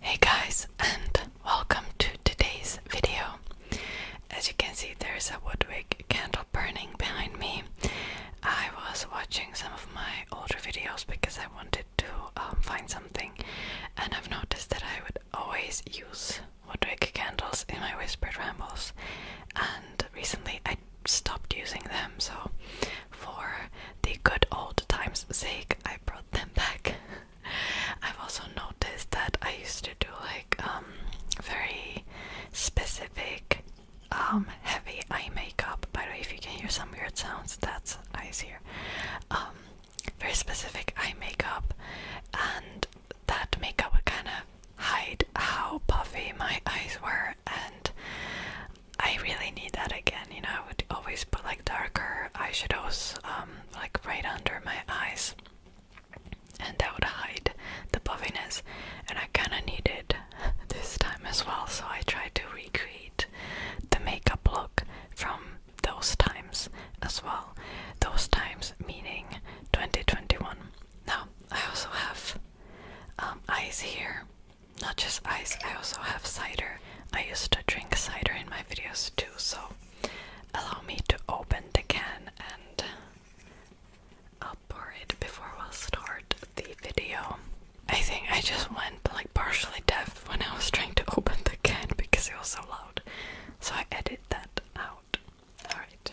Hey guys and welcome to today's video. As you can see there's a Woodwick candle burning behind me. I was watching some of my older videos because I wanted to um, find something and I've noticed that I would always use Woodwick candles in my whispered rambles and recently I stopped using them so for the good old times sake I I brought them back. I've also noticed that I used to do like um, very specific um, heavy eye makeup. By the way, if you can hear some weird sounds, that's eyes here. Um, very specific eye makeup and that makeup would kind of hide how puffy my eyes were and I really need that again you know I would always put like darker eyeshadows um, like right under my eyes and that would hide the puffiness and I kinda needed this time as well so I tried to recreate the makeup look from those times as well those times meaning 2021 now I also have um, eyes here not just eyes. I also have cider I used to drink cider in my videos too, so allow me to open the can and I'll pour it before we'll start the video. I think I just went like partially deaf when I was trying to open the can because it was so loud. So I edit that out. Alright.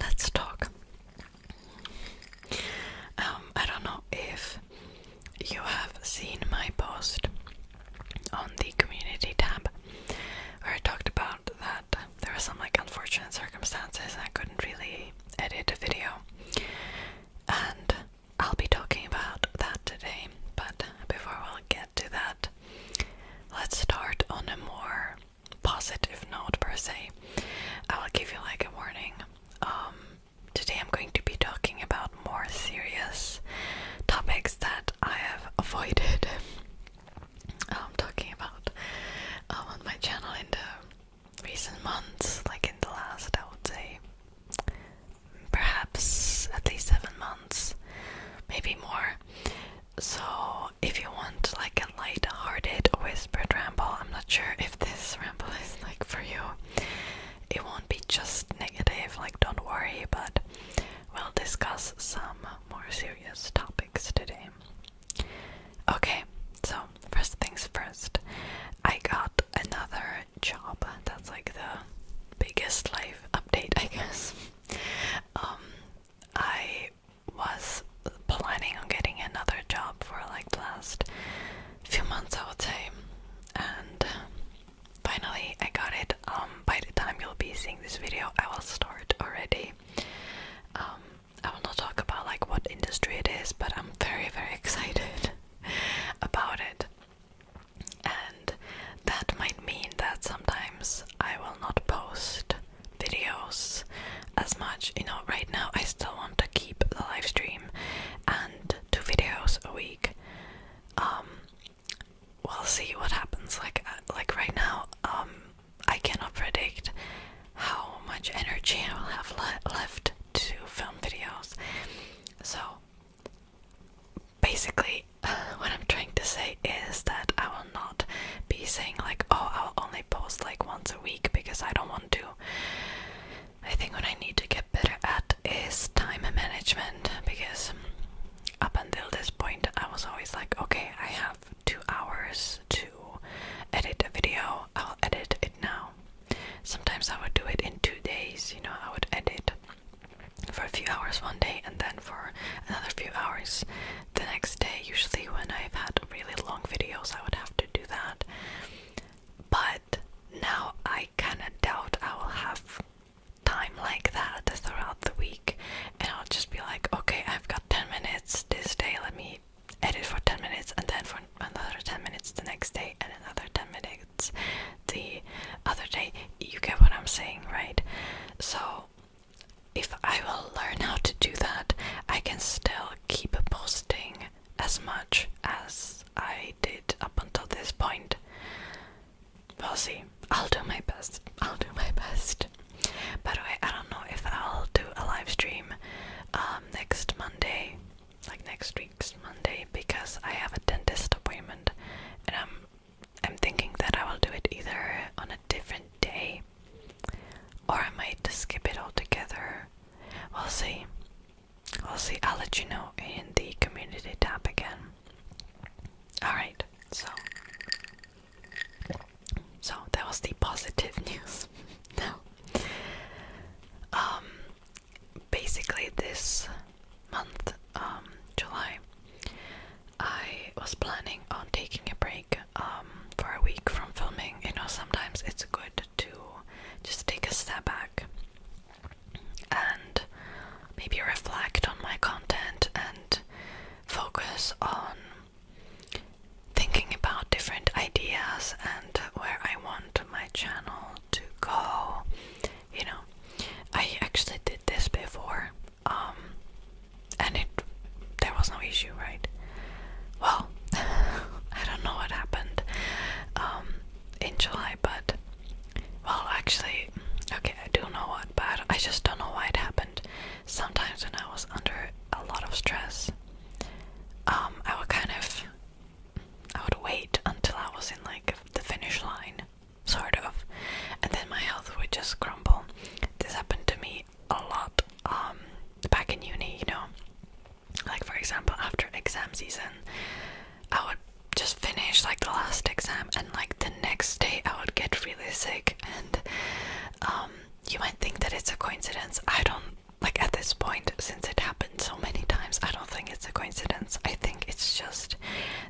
let's talk. Um, I don't know if you have seen my post on the community tab where I talked about that there were some like unfortunate circumstances and I couldn't really edit a video. And I'll be talking about that today, but before we get to that, let's start on a more positive note per se. I will give you like a warning um, today I'm going to be talking about more serious topics that I have avoided um, talking about um, on my channel in the recent months, like in the last, I would say, perhaps at least seven months, maybe more. So, if you want like light-hearted whispered ramble. I'm not sure if this ramble is like for you. It won't be just negative, like don't worry, but we'll discuss some more serious topics today. Okay, so first things first. I got another job. That's like the biggest life update, I guess. Um I was planning on getting another job for like the last few months, I would say, and uh, finally I got it. Um, by the time you'll be seeing this video, I will start already. Um, I will not talk about like what industry it is, but I'm very very excited about it. And that might mean that sometimes I will not post videos as much. You know, right now I still want to keep the live stream and two videos a week. Um, we'll see what happens. Like, uh, like right now, um, I cannot predict how much energy I will have left to film videos. So, basically, what I'm trying to say is that I will not be saying like, oh, I'll only post like once a week because I don't want to. I think what I need to get better at is time management because up until this point I was always like, okay, I have two hours to edit a video, I'll edit it now. Sometimes I would do it in two days, you know, I would edit for a few hours one day and then for another few hours the next day. Usually, when I've had really long videos, I would have to do that but now I kinda doubt I will have time like that throughout the week and I'll just be like, okay, I've got 10 minutes this day, let me edit for 10 minutes and then for another 10 minutes the next day and another 10 minutes the other day. You get what I'm saying, right? So if I will learn how to do that, I can still keep posting as much as I did up until this point. We'll see. I'll do my best. I'll do my best. By the way, I don't know if I'll do a live stream um, next Monday, like next week's Monday, because I have a dentist appointment, and I'm I'm thinking that I will do it either on a different day, or I might skip it altogether. We'll see. We'll see. I'll let you know in the community tab again. Alright, so so that was the positive news. now um basically this month, um, July, I was planning on taking a break um, for a week from filming. You know, sometimes it's good to just take a step back and maybe reflect on my content and focus on thinking about different ideas and where I want my channel to go. You know, I actually did this before, um, and it there was no issue, right? well, I don't know what happened um, in July, but well, actually, okay, I do know what, but I just don't know why it happened. Sometimes when I was under a lot of stress, um, I would kind of I would wait until I was in like the finish line, sort of, and then my health would just crumble. This happened to me a lot um, back in uni, you know. Like, for example, after exam season, I would just finish like the last exam, and like the next day, I would get really sick. And um, you might think that it's a coincidence. I don't like at this point, since it happened so many times, I don't think it's a coincidence. I think it's just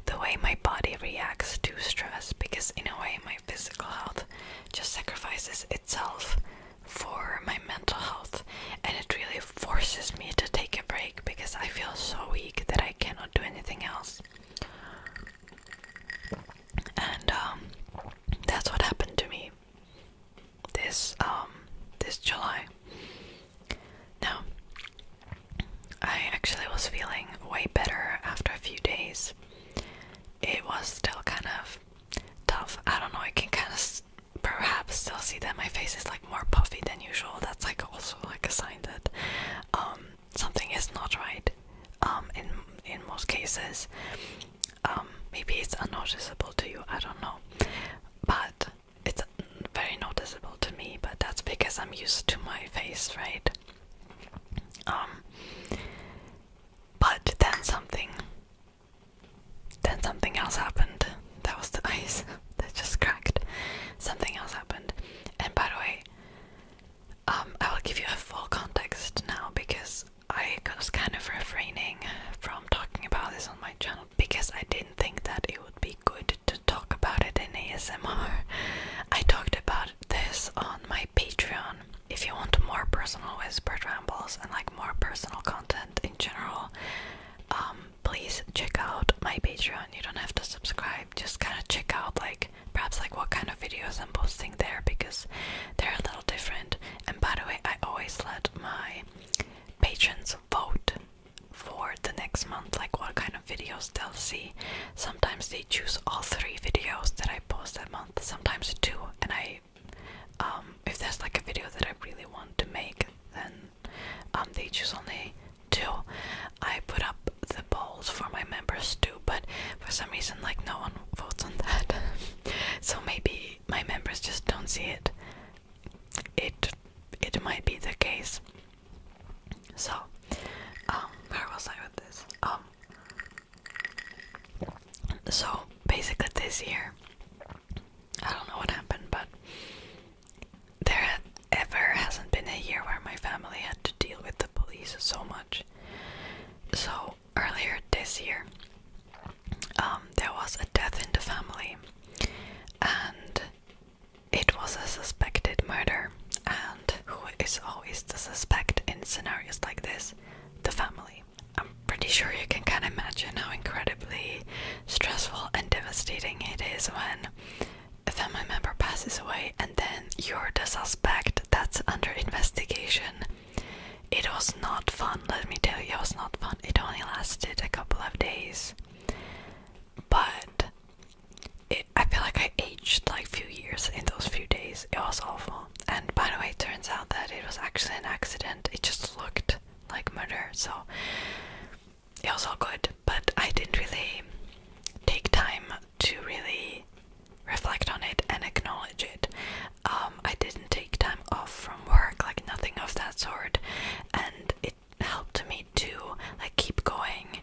the way my body reacts to stress because, in a way, my physical health just sacrifices itself for my mental health, and it really forces me to take a break because I feel so weak that I cannot do anything else. And um, that's what happened to me this um this July. Now, I actually was feeling way better after a few days. It was still kind of tough. I don't know. I can kind of perhaps still see that my face is like more puffy than usual. That's like also like a sign that um, something is not right. Um, in in most cases, um, maybe it's unnoticeable to you. I don't know, but it's very noticeable to me. But that's because I'm used to my face, right? but then something then something else happened. That was the ice that just cracked. Something else happened. And by the way, um, I will give you a full context now because I was kind of refraining from talking about this on my channel because I didn't think that it would be good to talk about it in ASMR. I talked about this on my Patreon. If you want more personal whisper rambles and like more personal content in general, um, please check out my Patreon. You don't have to subscribe, just kind of check out, like, perhaps, like, what kind of videos I'm posting there because they're a little different. And by the way, I always let my patrons vote for the next month, like, what kind of videos they'll see. Sometimes they choose all three videos that I post that month, sometimes two, and I um, if there's like a video that I really want to make then um, they choose only two. I put up the polls for my members too, but for some reason like no one votes on that. so maybe my members just don't see it. It it might be the case. So um, where was I with this? so basically this year I don't know what happened, but there ever hasn't been a year where my family had to deal with the police so much. So earlier this year, um, there was a death in the family, and it was a suspected murder. And who is always the suspect in scenarios like this? The family. I'm pretty sure you can kind of imagine how incredibly stressful and devastating it is when a family member passes away and then you're the suspect that's under investigation. It was not fun, let me tell you, it was not fun. It only lasted a couple of days. But it, I feel like I aged like few years in those few days. It was awful. And by the way, it turns out that it was actually an accident. It just looked like murder, so it was all good. But I didn't really take time to really reflect on it and acknowledge it. Um, I didn't take time off from work, like nothing of that sort, and it helped me to like keep going.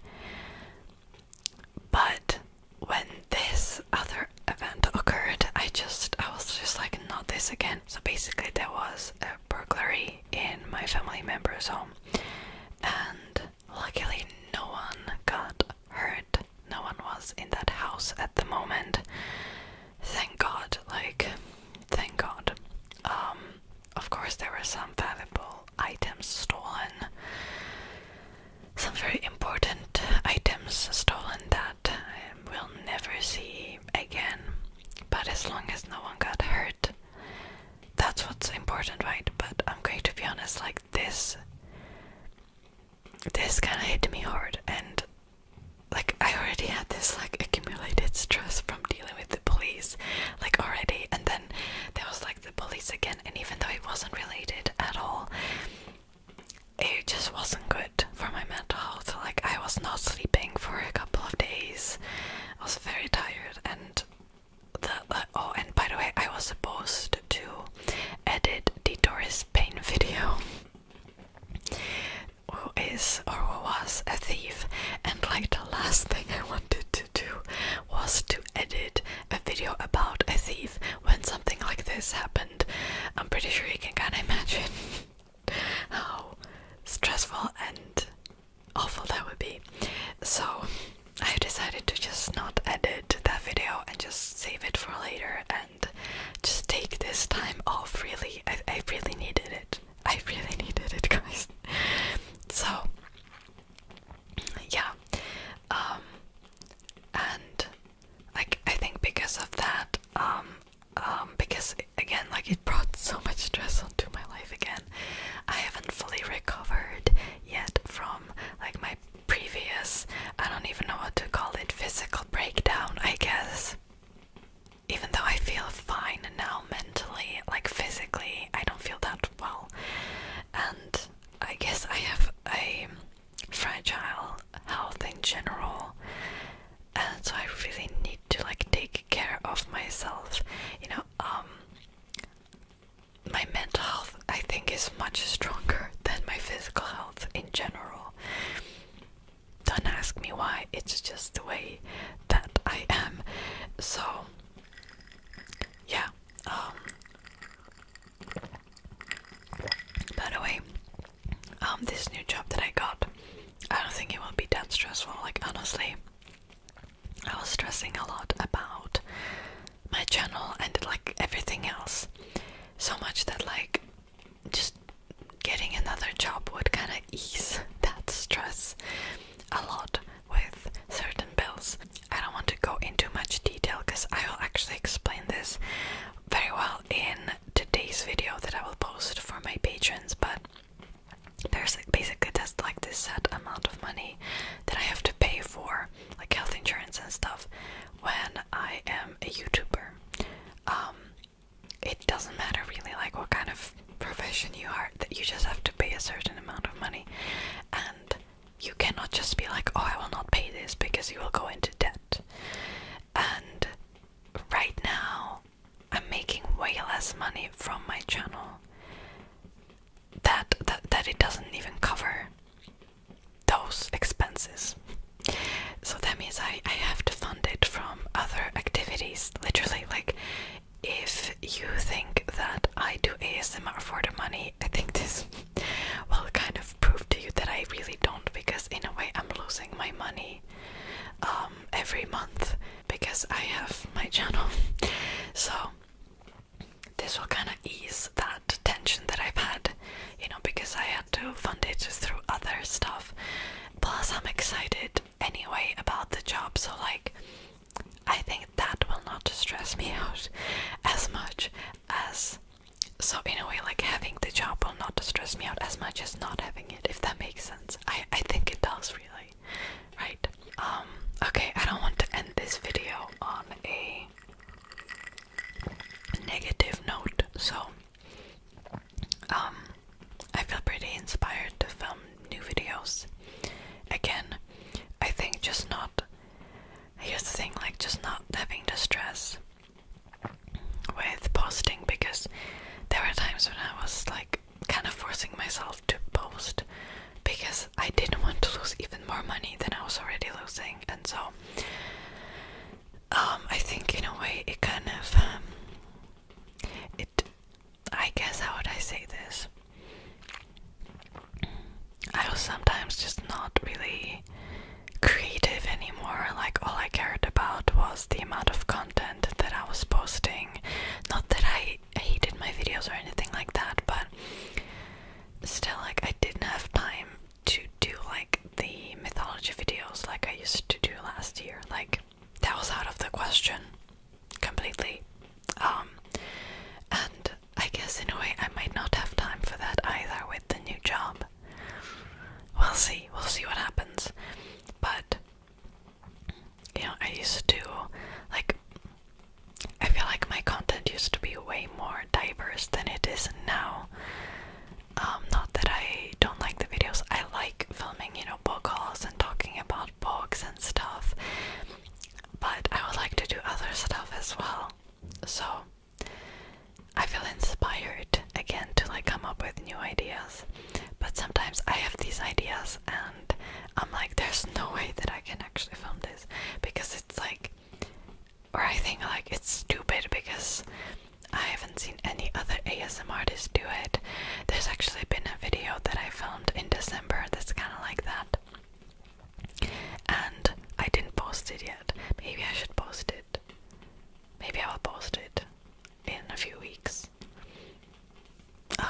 But when this other event occurred, I just I was just like not this again. So basically, there was a burglary in my family member's home, and luckily, no one got hurt. No one was in that house at the moment. Thank God, like, thank God. Um, of course, there were some valuable items stolen, some very important items stolen that we will never see again. But as long as no one got hurt, that's what's important, right? But I'm going to be honest, like this this kind of hit me hard and like I already had this like accumulated stress from dealing with the police like already and then there was like the police again and even though it wasn't related at all it just wasn't good for my mental health. Like, I was not sleeping for a couple of days, I was very tired. And uh, oh, and by the way, I was supposed to edit the Doris Payne video, who is or who was a thief. And like, the last thing I wanted to do was to edit a video about a thief when something like this happened. I'm pretty sure you can kind of imagine. how stressful and awful that would be. So I decided to just not edit that video and just save it for later and just take this time off. Really, I, I really needed it. I really needed it, guys. So yeah, um, and like I think because of that, um, um, because again, like it brought so much stress onto my life again. I haven't fully recovered yet from like my previous, I don't even know what to call it, physical breakdown, I guess. Even though I feel fine now mentally, like physically, I don't feel that well. And I guess I have a fragile health in general, and so I really need to like take care of myself. You know, um, my mental health I think is much stronger than my physical health in general. Don't ask me why, it's just the way that I am. So, yeah, um, by um, this new job that I got, I don't think it will be that stressful. Like honestly, I was stressing a lot about my channel and like everything else, so much that like just getting another job would kind of ease that stress a lot with certain bills. I don't want to go into much detail because I will actually explain this very well in today's video that I will post for my patrons, but there's basically just like this set amount of money that I have to pay for like health insurance and stuff when I am a YouTuber. Um, it doesn't matter really like what kind of profession you are that you just have to pay a certain amount of money and you cannot just be like oh I will not pay this because you will go into debt and right now I'm making way less money from my channel that that, that it doesn't even cover those expenses. So that means I, I have to fund it from other activities. Literally, like if you think that I do ASMR for the money, I think this will kind of prove to you that I really don't because in a way I'm losing my money um, every month because I have my channel. So this will kind of ease that tension that I've had, you know, because I had to fund it through other stuff. Plus, I'm excited anyway about the job, so like, I think that will not stress me out as much as. So, in a way, like having the job will not stress me out as much as not having it if that makes sense. I, I think it does really. Right. Um, okay, I don't want to end this video on a negative note, so um I feel pretty inspired to film new videos. Again, I think just not here's the thing, like just not having the stress with posting because there were times when I was like kind of forcing myself to post because I didn't want to lose even more money than I was already losing, and so um, I think in a way it kind of um, it. I guess how would I say this? I was sometimes just not really creative anymore. Like all I cared about was the amount of content that I was posting not that I hated my videos or anything like that, but still, like, I didn't have time to do like the mythology videos like I used to do last year. Like, that was out of the question completely. Um, and I guess in a way, I might not have time for that either with the new job. We'll see, we'll see what happens. But you know, I used to like I feel like my content used to be way more diverse than it is now. Um, not that I don't like the videos. I like filming, you know, book hauls and talking about books and stuff. But I would like to do other stuff as well. So I feel inspired again to like come up with new ideas. But sometimes I have these ideas and I'm like, there's no way that I can actually film this because it's like, or I think like it's stupid because I haven't seen any other ASMR artists do it. There's actually been a video that I filmed in December that's kind of like that. And I didn't post it yet. Maybe I should post it. Maybe I will post it in a few weeks.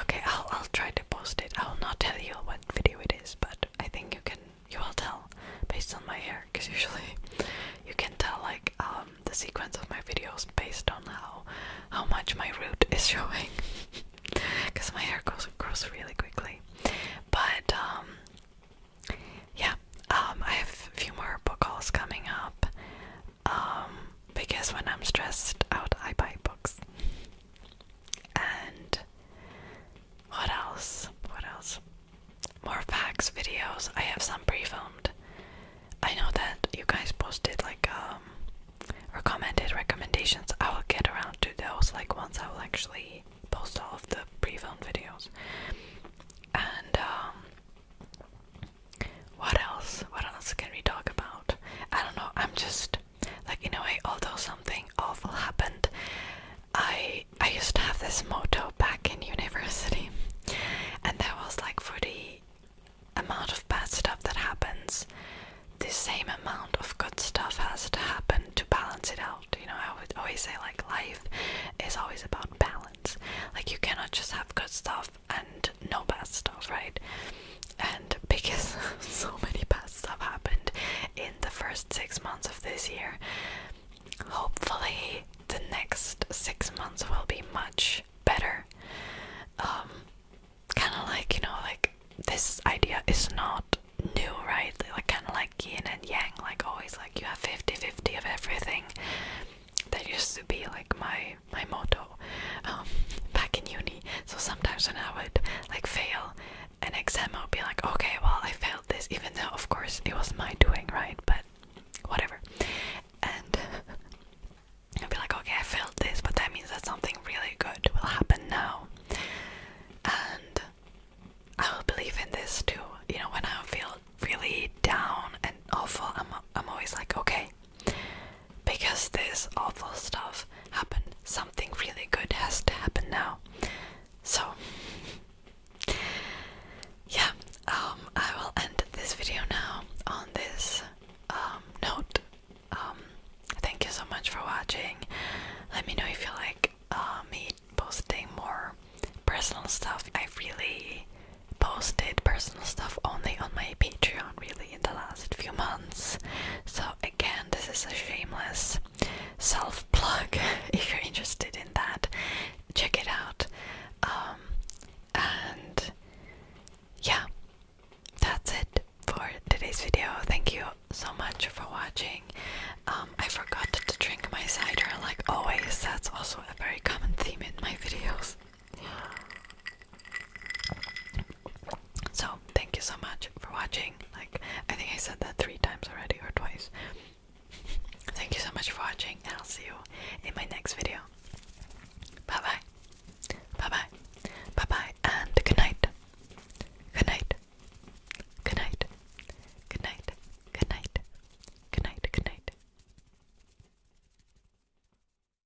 Okay, I'll I'll try to post it. I'll not tell you what video it is, but I think you can you will tell based on my hair, because usually you can tell like um the sequence of my videos based on how how much my root is showing, because my hair grows grows really quickly. But um yeah, um I have a few more book calls coming up. Um, because when I'm stressed out, I buy books. And what else? What else? More facts videos. I have some pre-filmed. I know that you guys posted like um or commented recommendations. I will get around to those like once I will actually post all of the pre-filmed videos. And um what else? What else can we talk about? I don't know. I'm just like you know, although something awful happened, I I used to have this motto back in university, and that was like for the amount of bad stuff that happens, the same amount of good stuff has to happen to balance it out. You know, I would always say like life is always about balance. Like you cannot just have good stuff and no bad stuff, right? And because so many bad stuff happened in the first six months of this year, hopefully the next six months will be much better. Um, kind of like, you know, like this idea is not new, right? Like, kind of like yin and yang, like always, like you have 50 50 of everything. That used to be like my my motto um, back in uni. So sometimes when I would like fail an exam, I would be like, okay, well I failed this, even though of course it was my doing, right? But whatever. And I'd be like, okay, I failed this, but that means that something really good will happen now. And I will believe in this too. You know, when I feel really down and awful, I'm I'm always like, okay, because this awful stuff happened, something really good has to happen now. So, yeah, um, I will end this video now on this um, note. Um, thank you so much for watching. Let me know if you like uh, me posting more personal stuff. I really posted personal stuff only on my Patreon, really in the last few months. So, again, this is a shameless self plug if you're interested in that. Check it out. Um, and yeah, that's it for today's video. Thank you so much for watching. Um, I forgot to drink my cider like always, that's also a very common theme in my videos. So, thank you so much for watching. Like, I think I said that three times already or twice. Thank you so much for watching, and I'll see you in my next video. Bye bye. Bye bye. Bye bye, and good night. Good night. Good night. Good night. Good night. Good night. Good night. Good night.